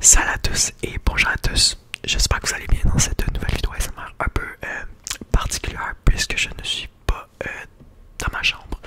Salut à tous et bonjour à tous, j'espère que vous allez bien dans cette nouvelle vidéo SMR un peu euh, particulière puisque je ne suis pas euh, dans ma chambre,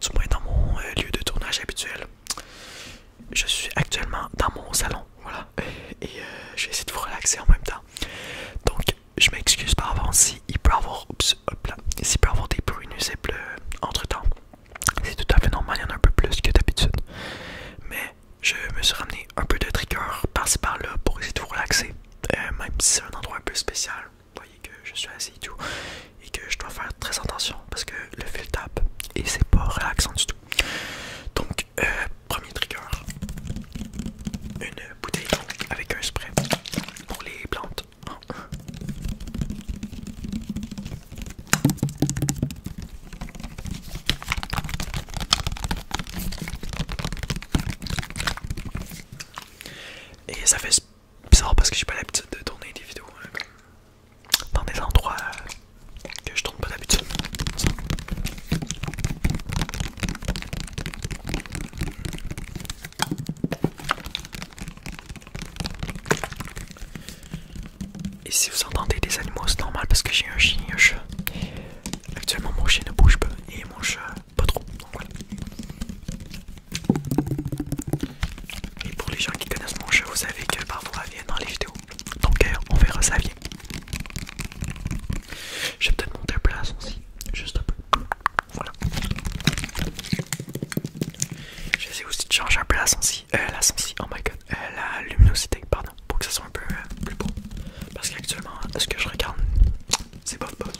du moins dans mon euh, lieu de tournage habituel. Je suis actuellement dans mon salon, voilà, et je vais essayer de vous relaxer en même temps. Donc je m'excuse par avance s'il peut avoir, oups, hop peut avoir des bruits nuisibles entre temps, c'est tout à fait normal, il y en a un peu plus que d'habitude. Mais je me suis ramené un peu de trigger par-ci par-là pour essayer de vous relaxer. Euh, même si c'est un endroit un peu spécial, vous voyez que je suis assis et tout, et que je dois faire très attention parce que le fil tape et c'est pas relaxant du tout. Donc, euh, premier trigger une bouteille avec un spray pour les plantes. Et ça fait bizarre parce que j'ai pas l'habitude de tourner des vidéos hein, dans des endroits que je tourne pas d'habitude. Et si vous entendez des animaux, c'est normal parce que j'ai un chien et un chat. Actuellement, mon chien ne bouge pas et mon chat pas trop. Et pour les gens qui connaissent mon chat, vous savez que parfois il vient dans les vidéos. Donc euh, on verra ça vient. Je vais peut-être monter un place aussi, juste un peu. Voilà. J'essaie aussi de changer un place aussi. Elle euh, la oh my god, euh, luminosité, pardon, pour que ça soit un peu euh, plus beau. Parce qu'actuellement, ce que je regarde, c'est pas bof,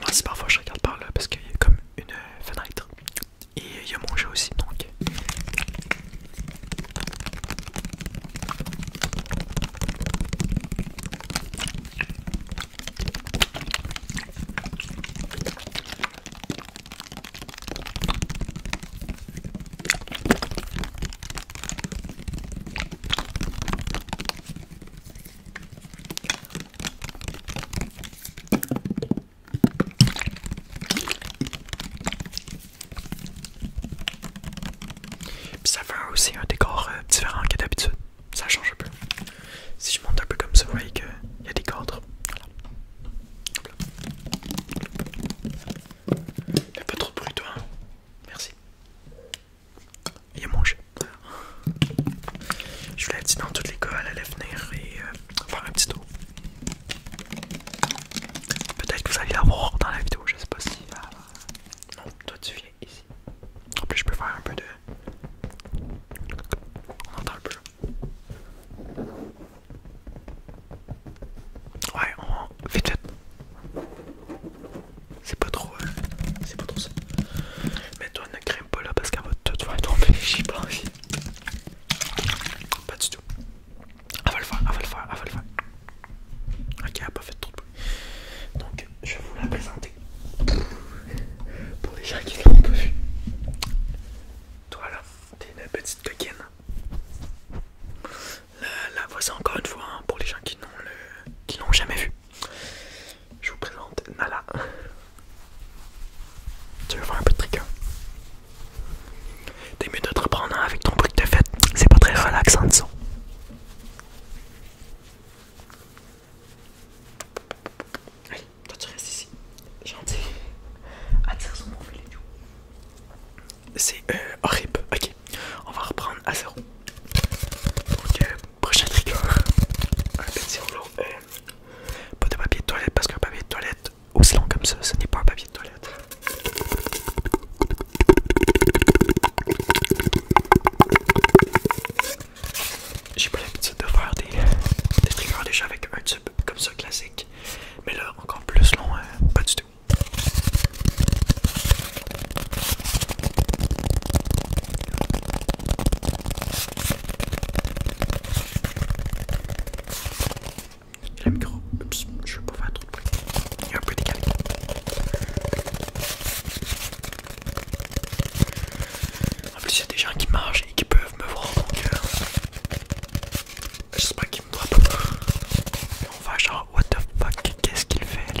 Moi aussi parfois je regarde par là parce qu'il y a comme une fenêtre et il y a mangé aussi donc puis ça fait aussi un décor euh, différent que d'habitude. Ça change un peu. Si je monte un peu comme ça, vous voyez qu'il y a des cadres. n'y a pas trop de bruit toi. Hein. Merci. Il y a Je vous l'ai dit dans toutes les à à l'avenir et euh, faire un petit tour. Peut-être que vous allez la dans la vidéo, je sais pas si. Euh, non, toi tu viens ici. En plus, je peux faire un peu de. On entend un peu. Ouais, on. Vite, vite. C'est pas trop. Euh, c'est pas trop ça. mets toi, ne voilà là parce qu'elle va tout tu tomber. j'y pas Pas du tout. Elle va le faire, elle va le faire, Ok, elle a pas fait trop de bruit. Donc, je vais vous la présenter. Pour les gens qui l'ont pas vu. Toi là, t'es une petite coquine. La, voici encore une fois hein, pour les gens qui n'ont jamais vu. Je vous présente Nala. Tu veux faire un peu de tricot hein? T'es mieux de te reprendre hein, avec ton bruit de fête C'est pas très relaxant de son. Allez, toi tu restes ici. Gentil. Attire sur mon filet. C'est euh, horrible. Ok, on va reprendre à zéro. Donc, prochain tricot. Hein. Un petit euh, pas de papier de toilette parce qu'un papier de toilette aussi long comme ça, ce n'est pas un papier de toilette. J'ai pas l'habitude de faire des, triggers déjà avec un tube comme ça classique, mais là encore plus long, hein, pas du tout. Et le micro, je peux faire trop de bruit. Il a un peu décalé. En plus, il y a des gens qui marchent et qui peuvent me voir donc cœur. Euh, j'espère qu'ils me voient pas. On va genre, what the fuck, qu'est-ce qu'il fait lui?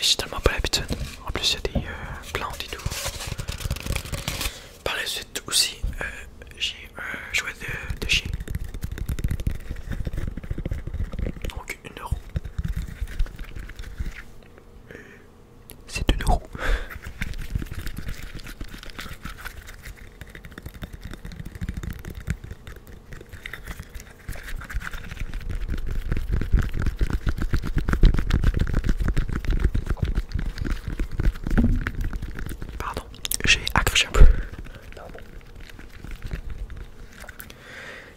J'ai tellement pas l'habitude. En plus, il y a des euh, plantes et tout. Par la suite aussi, euh, j'ai un jouet de, chien. Donc, une euro. C'est 2 euro. Pardon, j'ai accroché un peu.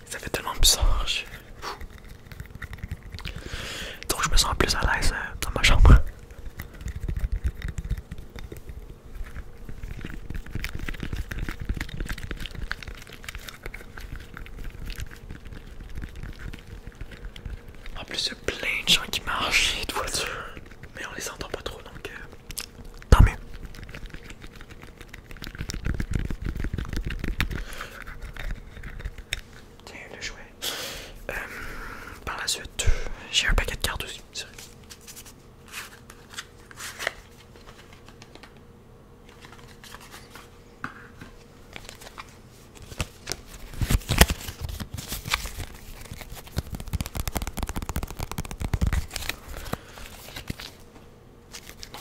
Ça fait tellement bizarre. Je... Donc je me sens plus à l'aise euh, dans ma chambre. En plus, il y a plein de gens qui marchent mais on les entend pas trop donc euh, tant mieux. Tiens, le jouet. Euh, par la suite, j'ai un paquet de cartes aussi.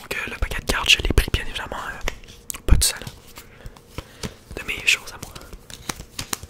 Donc euh, le paquet de cartes, je l'ai pris bien évidemment euh, pas de seul de mes choses à moi.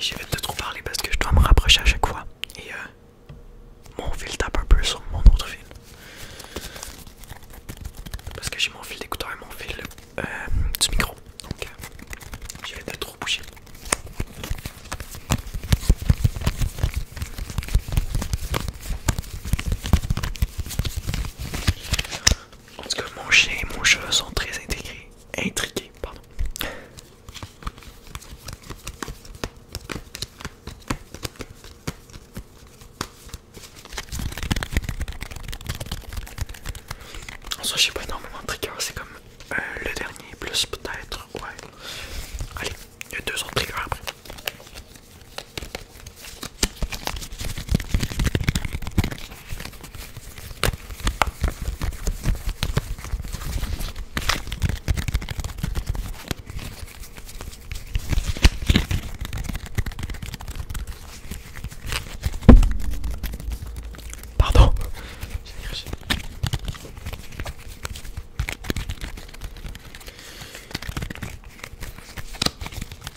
J'ai vais de trop parler parce que je dois me rapprocher à chaque fois. Et euh, mon fil tape un peu sur mon autre fil. Parce que j'ai mon fil d'écouteur et mon fil euh, du micro. Donc euh, j'ai vais de trop bouger. En tout mon chien et mon cheveu sont très intégrés, Intriqués, pardon. En soi, j'ai pas énormément de triggers, c'est comme euh, le dernier, plus peut-être, ouais. Allez, il y a deux autres Pardon,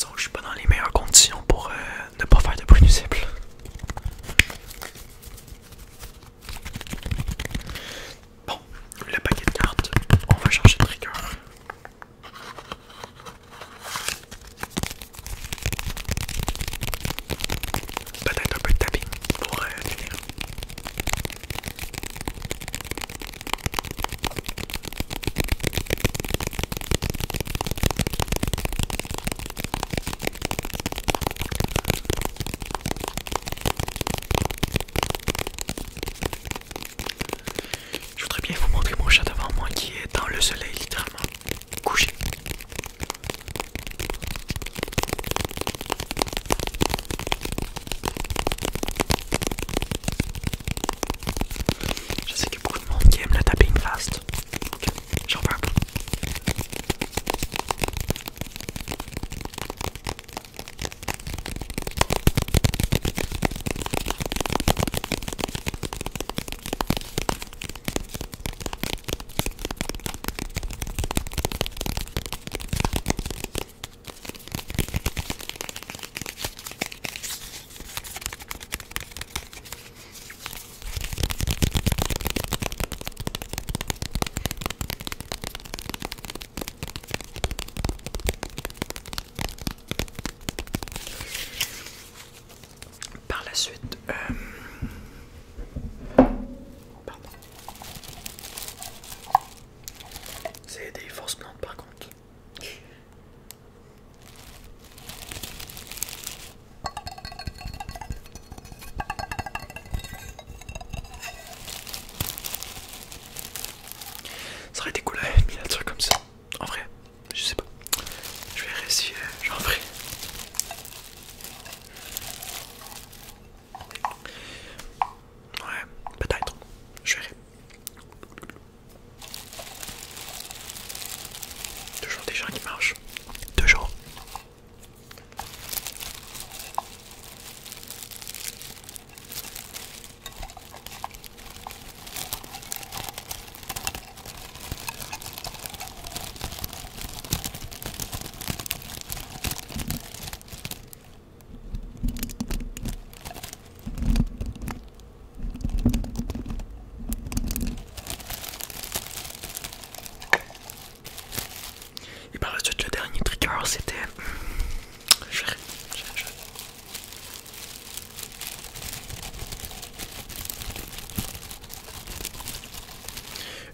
Donc je suis pas dans les meilleures conditions pour euh, ne pas faire de bruit nuisible. Bon, le paquet de cartes, on va changer de trigger peut-être un peu de tapping pour euh, Je voudrais bien vous montrer mon chat devant moi qui est dans le soleil littéralement couché. Je sais que beaucoup de monde qui aime le tapping fast. j'en veux par la suite, euh, Pardon. C'est des forces plantes par contre. Ça aurait été cool à mis un truc comme ça. En vrai, je sais pas. Je vais réussir. j'en ferai. Ouais, peut-être. Je verrai. Toujours des gens qui marchent. Toujours. Et par la suite, le dernier trigger c'était.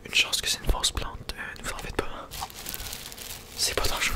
Une chance que c'est une force plante, euh, ne vous en faites pas. C'est pas dangereux.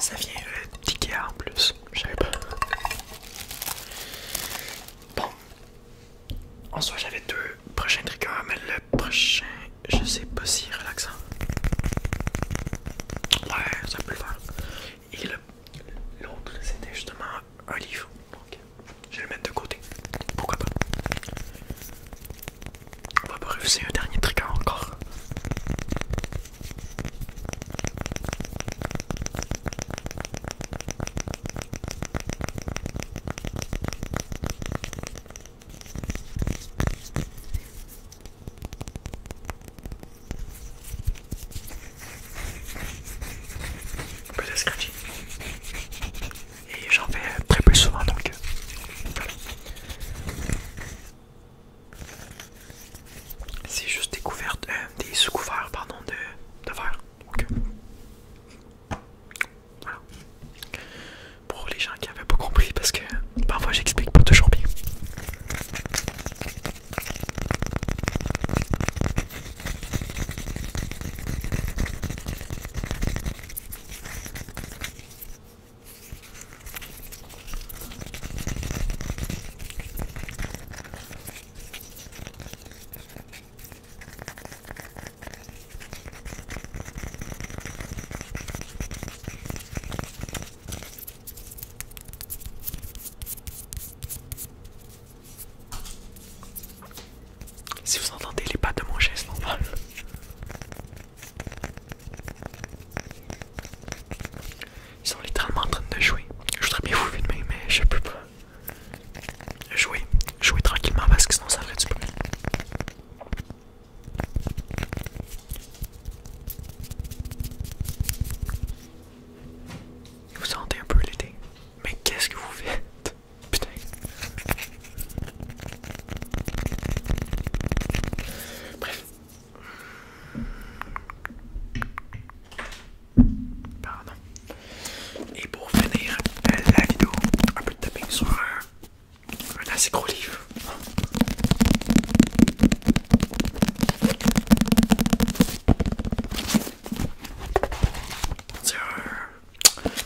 Ça vient euh, petit d'Ikea en plus, je sais pas. Bon, en soit, j'avais deux prochains à mais le prochain, je sais pas si relaxant. Ouais, ça peut le faire. Et l'autre, c'était justement un livre. je vais le mettre de côté. Pourquoi pas? On va pas refuser un dernier tricot encore et j'en fais très peu souvent donc euh, C'est juste des couvertes, euh, des sous-couverts pardon de, de verre. Euh, pour les gens qui avaient pas compris, parce que parfois j'explique pas toujours bien. Si vous entendez les pas de mon geste normal, ils sont littéralement en train de jouer. Je voudrais bien vous demain, mais je peux pas jouer, jouer tranquillement parce que sinon ça ferait du bruit. Vous sentez un peu l'été, mais qu'est-ce que vous faites? Putain! Bref. Pardon. Et pour finir la vidéo, un peu de tapping sur un, assez gros livre.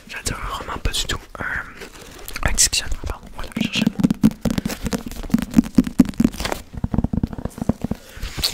J'allais dire un roman, pas du tout. Un, un pardon. Voilà, je cherchais le mot.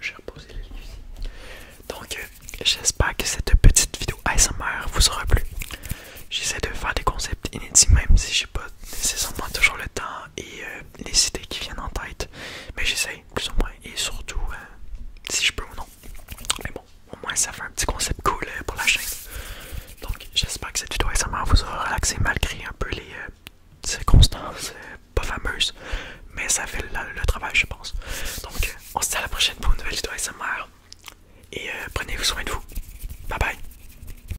J'ai reposé Donc, euh, j'espère que cette petite vidéo ASMR vous aura plu. J'essaie de faire des concepts inédits, même si j'ai pas c'est moi toujours le temps et euh, les idées qui viennent en tête. Mais j'essaye, plus ou moins, et surtout euh, si je peux ou non. Mais bon, au moins ça fait un petit concept cool euh, pour la chaîne. Donc j'espère que cette vidéo SMR vous aura relaxé malgré un peu les circonstances pas fameuses. Mais ça fait le travail je pense. Donc on se dit à la prochaine pour une nouvelle vidéo ASMR. Et prenez soin de vous. Bye bye.